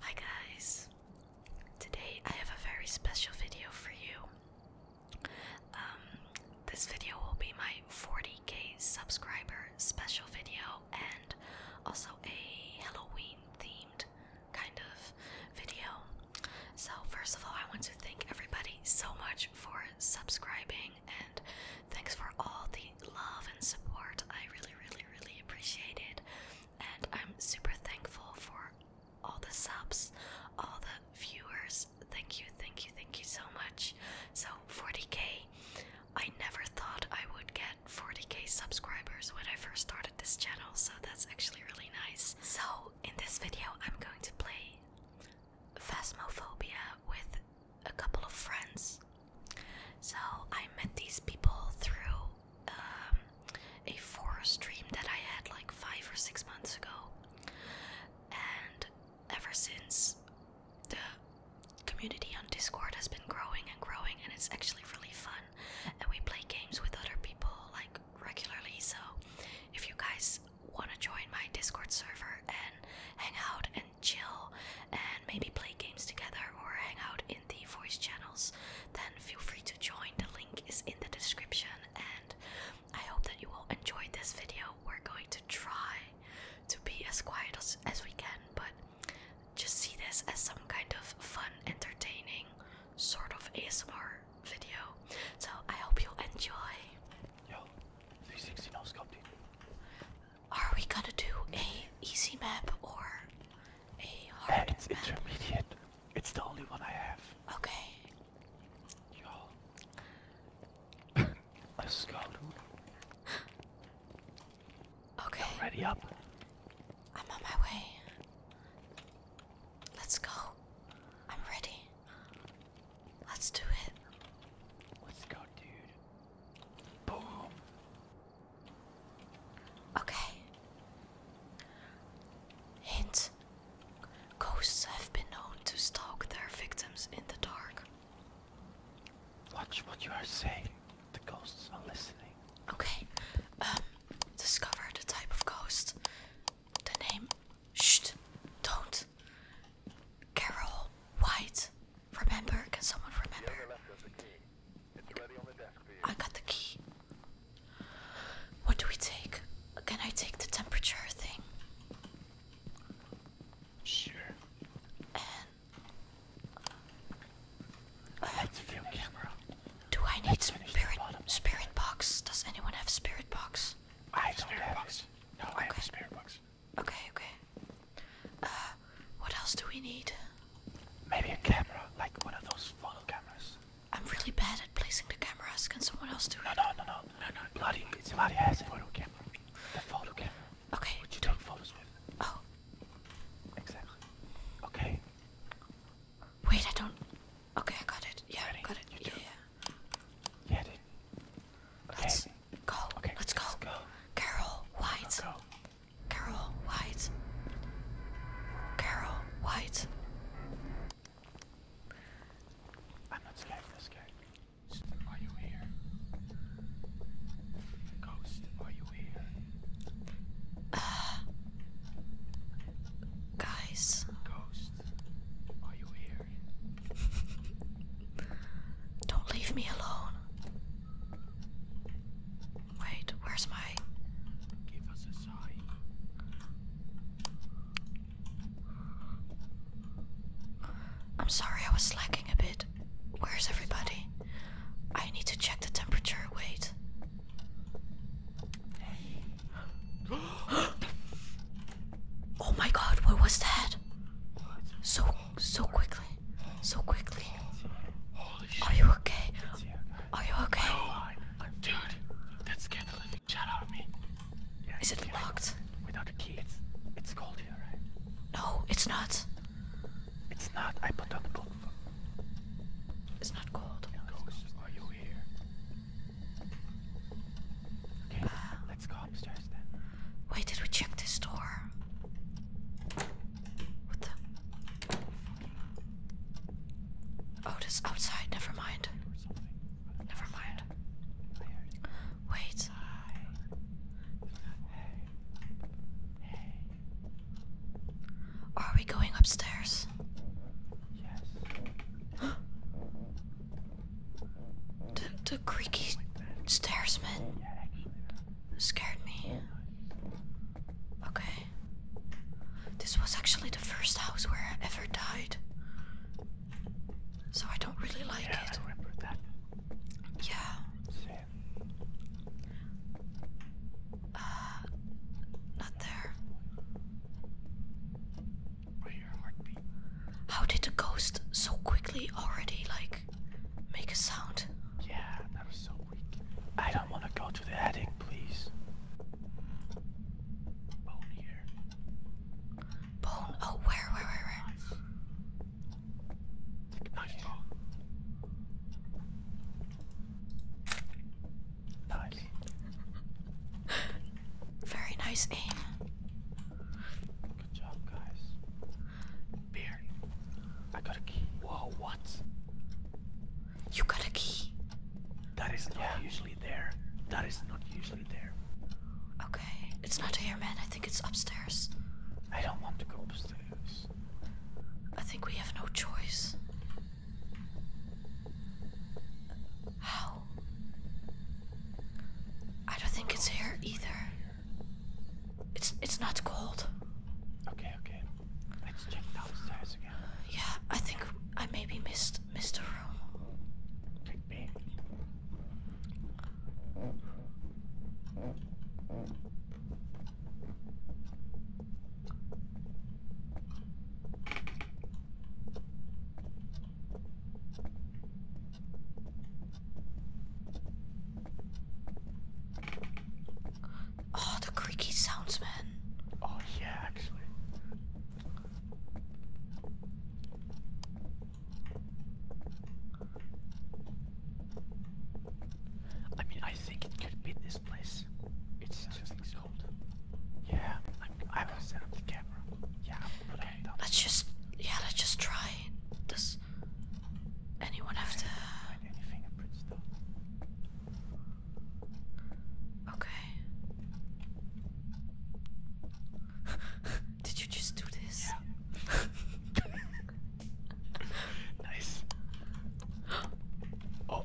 Hi guys! Today I have a very special video for you. Um, this video will be my 40k subscriber special video and also a Halloween themed kind of video. So, first of all, I want to thank everybody so much for subscribing and thanks for all the love and support. I really, really, really appreciate it, and I'm super thankful for all the subs, all the viewers. Thank you, thank you, thank you so much. So 40k. I never thought I would get 40k subscribers when I first started this channel, so that's actually really nice. So in this video, I'm going to play Phasmophobia with a couple of friends. So I met these people through um, a forest dream that I had like five or six months ago, and ever since the community on Discord has been growing and growing, and it's actually really fun. And we play games with other people like regularly. So if you guys want to join my Discord server and hang out and chill and maybe play games together or hang out in the voice channels, then feel free to join. The link is in the description, and I hope that you all enjoyed this video. We're going to try to be as quiet as, as we can, but just see this as some kind of fun, entertaining sort of ASMR video. So I hope you enjoy. Are we gonna do a easy map or a hard map? It's intermediate. It's the only one I have. Okay. Y'all. Okay. ready up. I'm on my way. Let's go. I'm ready. Let's do it. Let's go, dude. Boom. Okay. Hint. Ghosts have been known to stalk their victims in the dark. Watch what you are saying. The ghosts are listening. Okay. Um, discover the type of ghost. The name Shh, don't. Carol White, remember? Can someone remember? I got the key. What do we take? Can I take the temperature thing? Sure. Uh, do I need spirit spirit box? Does anyone have spirit box? I have spirit box. No, I have okay. a spirit box. Okay, okay. Uh, what else do we need? Maybe a camera, like one of those photo cameras. I'm really bad at placing the cameras. Can someone else do no, it? No, no, no, no, no, no. Bloody, it's bloody has a photo camera. The photo camera. Okay. Would you take photos with? Oh. Exactly. Okay. Wait, I don't. Okay, I got it. Yeah, Ready? got it. You yeah, do. yeah. Yeah, dude. Let's go. Okay, let's, go. go. Carol White. Go. Carol White. Carol White. I'm not scared this guy. Are you here? Ghost, are you here? Uh, guys. Ghost, are you here? Don't leave me alone. Wait, where's my. Give us a sign. I'm sorry, I was slacking a bit. Where's everybody? I need to check the temperature. Wait. oh my god, what was that? So, so quickly. So quickly. Are you okay? Are you okay? i Dude, that scared the living shit out of me. Is it locked? Without a key, it's, it's cold here, right? No, it's not. It's not. I put on the book. It's not cold. Ghost, are you here? let's go upstairs then. Wait, did we check this door? What the? Oh, this outside. Never mind. Never mind. Wait. Are we going upstairs? Yes. The, creaky stairs, man. scared me. Okay. This was actually the first house where I ever died. So I don't really like yeah, it. I remember that. Yeah. Sin. Uh, not there. How did the ghost so quickly already like make a sound? Yeah, that was so weak. I don't want to go to the attic, please. Bone here. Bone? Oh, where, where, where, where? Nice, Nice. Very nice aim. Good job, guys. Beer. I got a key. Whoa, what? You got a key? That is not usually there. That is not usually there. Okay. It's not here, man. I think it's upstairs. I don't want to go upstairs. I think we have no choice. How I don't think it's here either. It's it's not cold. Okay, okay. Let's check downstairs again. Yeah, I think I maybe missed missed a room. Oh, the creaky sounds, man. Oh, yeah, actually. I mean, I think it could be this place. It's just yeah, i will set up the camera. Yeah, put okay. it down. Let's just, yeah, let's just try. Does anyone have to find any fingerprints though? Okay. Did you just do this? Yeah. nice. oh.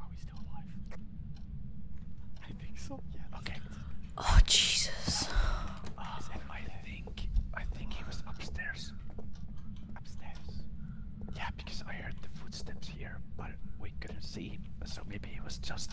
Are we still alive? I think so. Yeah. Okay. Oh Jesus. Uh, I think I think he was upstairs. Upstairs. Yeah, because I heard the footsteps here, but we couldn't see him, so maybe he was just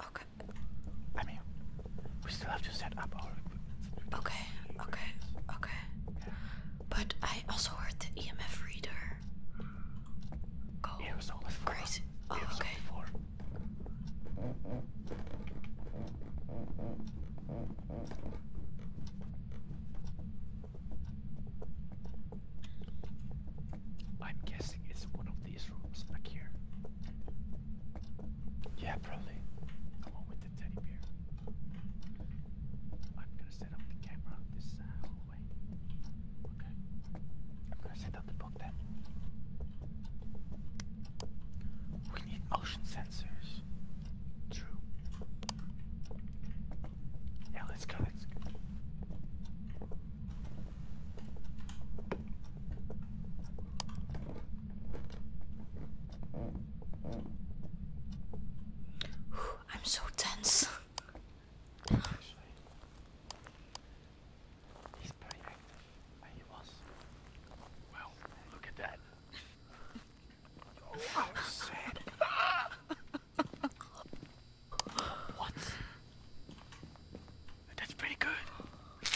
Okay. I mean, we still have to set up our Okay, okay, okay. But I also heard the EMF reader. Go crazy. Oh, okay. I'm guessing it's one of these rooms back here. Yeah, probably. Come on with the teddy bear. I'm gonna set up the camera on this uh, hallway. Okay. I'm gonna set up the book then. We need motion sensors. True. Yeah, let's go. Let's go. I'm so tense. he's pretty active. He was. Well, look at that. Oh, sad. what? That's pretty good.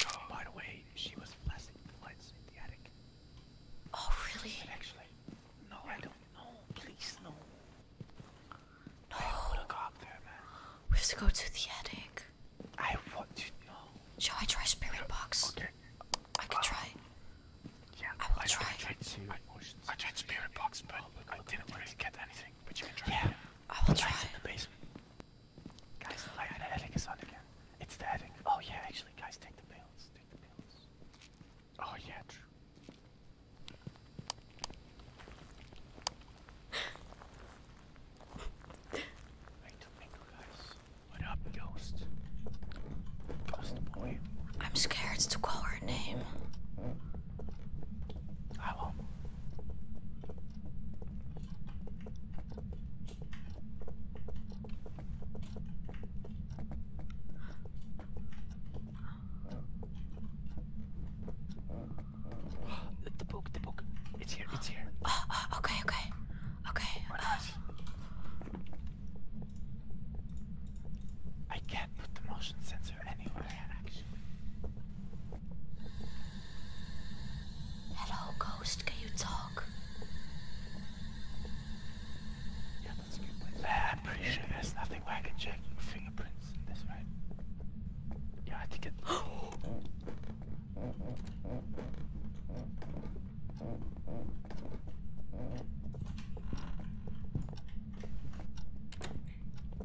Oh, by the way, she was flashing the lights in the attic. Oh really? actually, no, I don't know. Please no. No. I would have got there, man. We have to go to the attic. I want to know. Shall I try spirit box? Okay. I can uh, try. Yeah, I will try. I tried, spirit box, but oh, I didn't really get anything. But you can try. Yeah, I will the try. In the basement. Guys, I, the heading is on again. It's the heading. Oh yeah, actually, guys, take the pills. Take the pills. Oh yeah, true. Mingle, mingle, guys. What up, ghost? Ghost boy. I'm scared to call her name. I won't the book, the book. It's here, it's here. Oh, oh, okay, okay. Okay. Uh, I can't put the motion sensor anywhere, Hello, ghost. Can you talk? Yeah, that's good uh, I'm pretty sure there's nothing where I can check fingerprints in this, way. Yeah, I think it.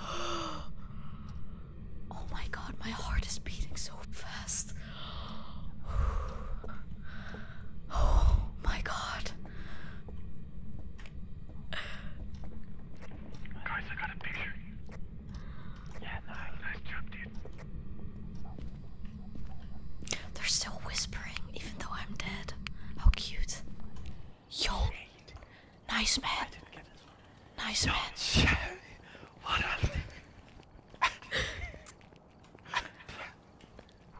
Oh my my god, heart is beating so oh I got a picture. They're still whispering, even though I'm dead. How cute. Yo, nice man. Nice man.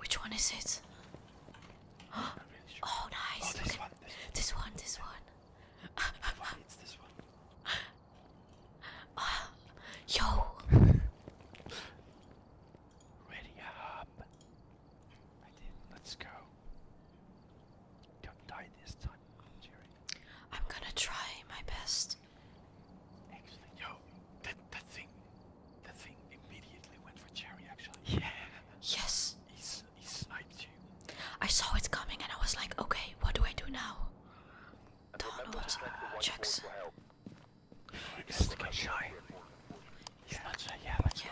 Which one is it? Oh, nice. Oh, this one. This one. This one. yo. Ready up. I Let's go. Don't die this time, Jerry. I'm gonna try my best. Actually, yo, that that thing, that thing immediately went for Jerry. Actually, yeah. Yes. I saw it coming and I was like, okay, what do I do now? Donald Jackson. He's looking shy. He's not shy, yeah, let's yeah.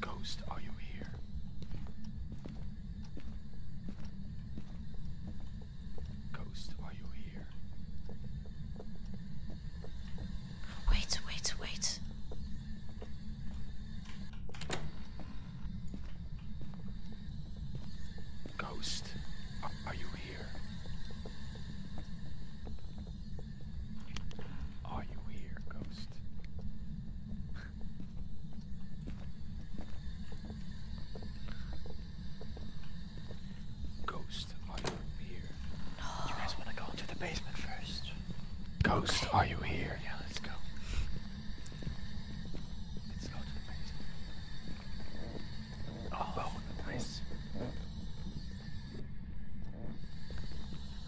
go. Ghost, are you here? Ghost, are you here? Wait, wait, wait. Ghost, are you here? Are you here, Ghost? Ghost, are you here? You guys want to go into the basement first? Ghost, are you here? Yeah, let's go. Let's go to the basement. oh, oh nice.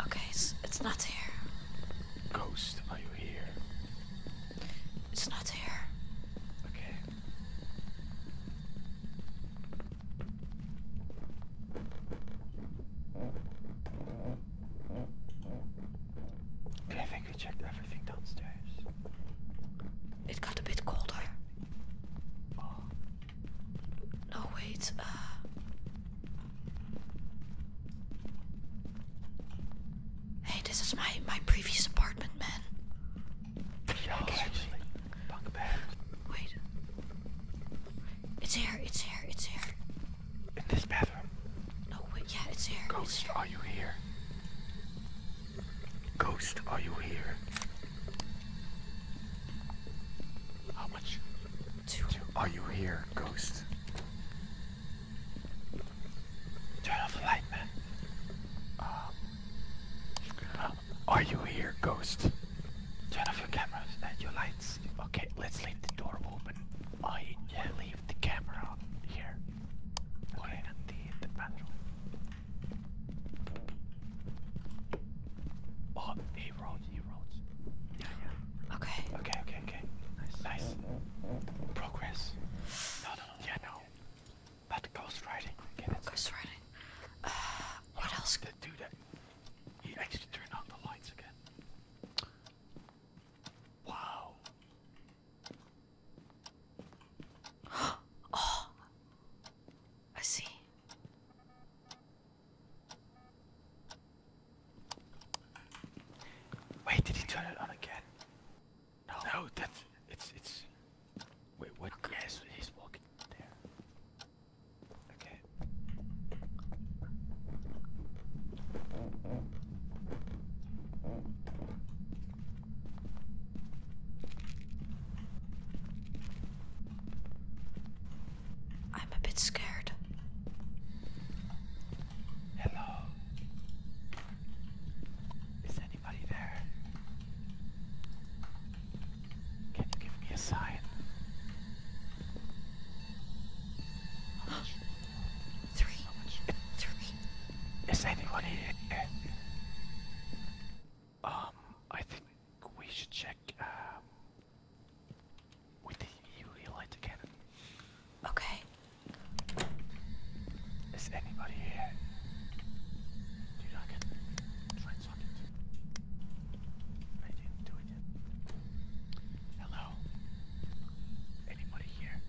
Okay, it's, it's not here. Ghost, are you here? It's not here. Okay. I think we checked everything downstairs. It got a bit colder. No, wait. Uh. hey, this is my my previous apartment, man. Wait. It's here, it's here, it's here. In this bathroom? No, wait, yeah, it's here. Ghost, are you here? Ghost, are you here? How much? Two. Are you here, ghost? Turn off the light, man. Um, are you here, ghost? Turn off your cameras and your lights. Okay, let's leave the door open. I leave the camera here. Put it in the, the Oh, he wrote, he wrote. Yeah, yeah. Okay. Okay, okay, okay. Nice. Nice. Progress. no, no. Yeah, no. About ghost riding. ghost riding. Uh, what oh, else? The dude that he actually turned on the lights again. Wow. oh, I see. Wait, did he turn it on again? No, no, that's it's it's. Wait, what? Okay. he's walking there. Okay. I'm a bit scared. Hello anybody there? give me a sign? Three. Three. Is anyone here? Um, I think we should check um with the UV light again. Okay. Is anybody here? Dude, I can try I didn't do it yet. Hello? Anybody here?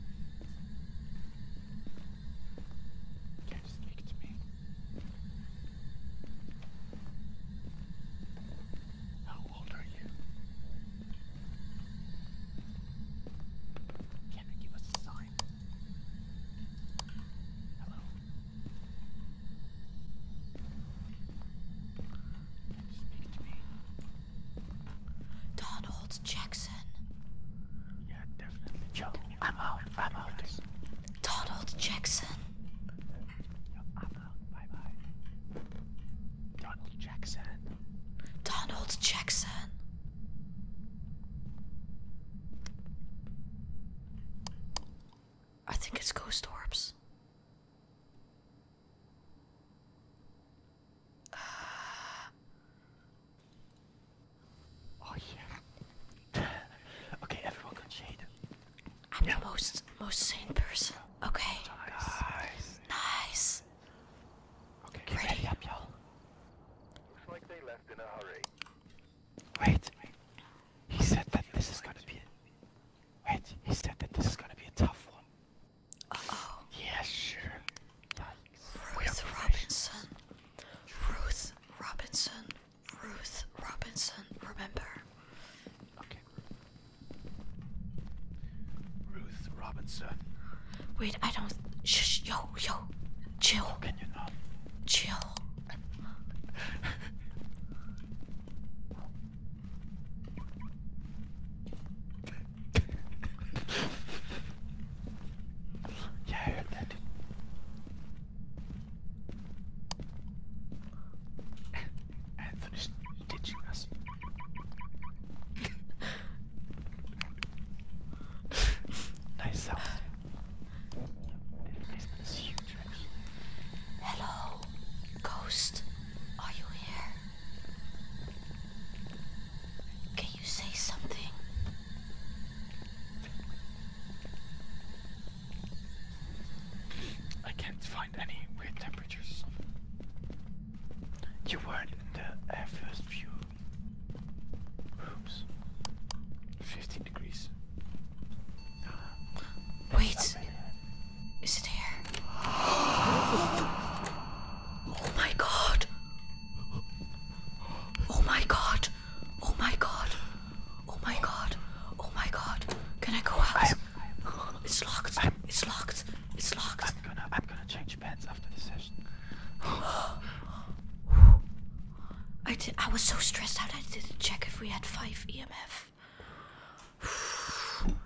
Can you speak to me? How old are you? Can you give us a sign? Hello? Donald Jackson. Yeah, definitely. Yo, I'm out. I'm out. Donald Jackson. Yo, I'm out. Bye bye. Donald Jackson. Donald Jackson. I think it's ghost orbs. Uh, oh yeah. okay, everyone got I'm the most most sane person. Okay. Nice. Nice. ready up, y'all. Wait. He said that this is gonna be a Wait, he said that this is gonna be a tough one. Uh oh. Yeah, sure. Ruth Robinson. Ruth Robinson. Ruth Robinson, remember. Okay. Ruth Robinson. Wait, I don't shh yo, yo. Chill. Chill. yeah, I heard that. Anthony's ditching us. nice house. Hello, ghost. Are you here? Can you say something? I can't find any weird temperatures. You weren't in the uh, first view Oops. 15 degrees. That's Wait. Is it here? oh my god. Oh my god. Oh my god. Oh my god. Oh my god. Can I go out? I'm, it's locked. I'm, it's locked. It's locked. I'm gonna I'm gonna change pants after the session. I did. I was so stressed out. I didn't check if we had five EMF.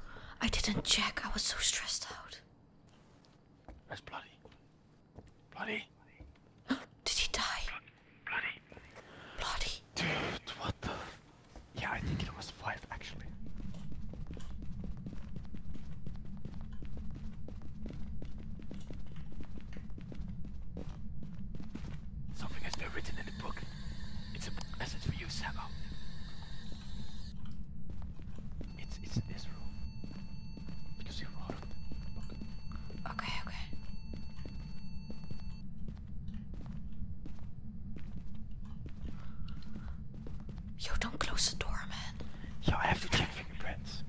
I didn't check. I was so stressed out. That's Bloody? Bloody? did he die? Bloody. Bloody. Dude, what the? Yeah, I think it was five actually. Something has been written in the book. It's a message for you, Sabo. It's it's this room. Because you wrote it. Book. Okay, okay. You don't close the door, man. Yo, I have to check fingerprints.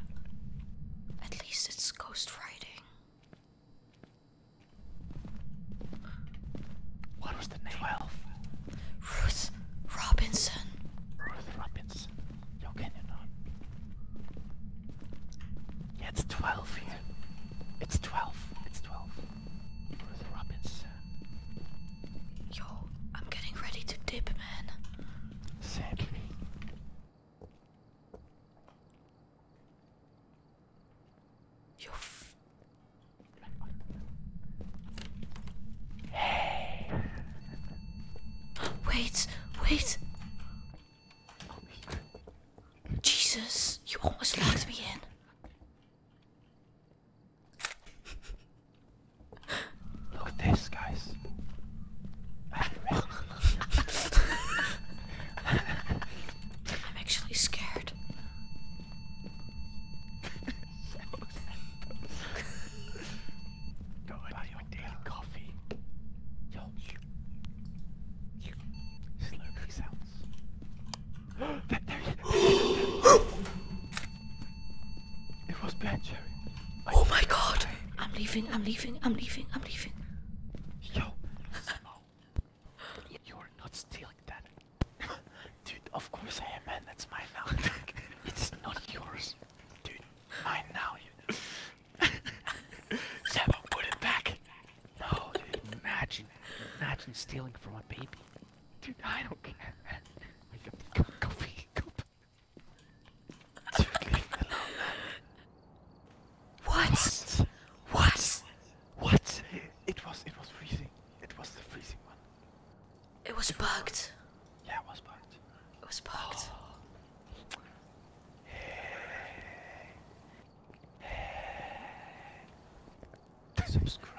At least it's ghost writing. What was the name? 12. Ruth Robinson. Ruth Robinson. Yo, can you not? it's 12 here. It's 12. It's 12. Ruth Robinson. Yo, I'm getting ready to dip, man. Sadly. You Hey! Wait, wait! Jesus, you almost locked me in. Look at this, guys. I'm actually scared. Go buy your daily coffee. Yo, slurpy sounds. there, there, there, it was Blanchard. Oh my god! I'm leaving, I'm leaving, I'm leaving, I'm leaving. Yo, Smo, you're not stealing that. Dude, of course I am, man. That's mine now. it's not yours. Dude, mine now. You know. Samo, put it back. No, dude, imagine. Imagine stealing from a baby. Dude, I don't care, man. Go, go, go, go what? What? What? It was it was freezing. It was the freezing one. It was bugged. Yeah, it was bugged. It was bugged. Subscribe.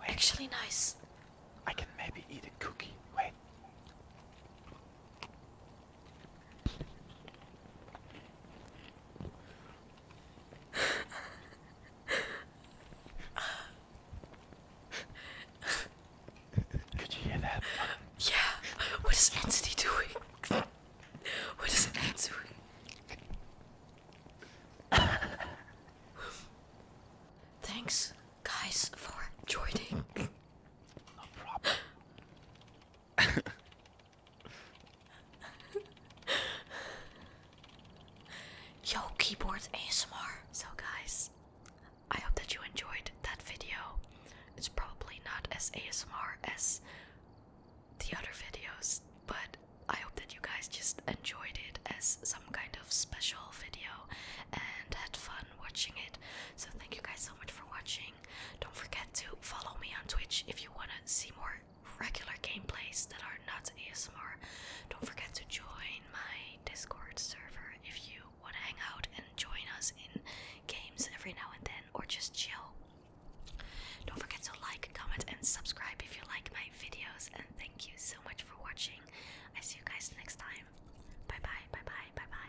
Wait. Actually nice. I can maybe eat a cookie. Wait. Could you hear that? Yeah. What is Anthony doing? what is Anthony doing? Thanks, guys, for joining. No problem. Yo, keyboards ASMR. So, guys, I hope that you enjoyed that video. It's probably not as ASMR as the other videos, but I hope that you guys just enjoyed it as some kind of special video and had fun watching it. So, thank you guys so much for watching. Don't forget to follow me on Twitch if you want to see more regular gameplays that are not ASMR. Don't forget to join my Discord server if you want to hang out and join us in games every now and then or just chill. Don't forget to like, comment, and subscribe if you like my videos. And thank you so much for watching. I see you guys next time. Bye bye, bye bye, bye bye.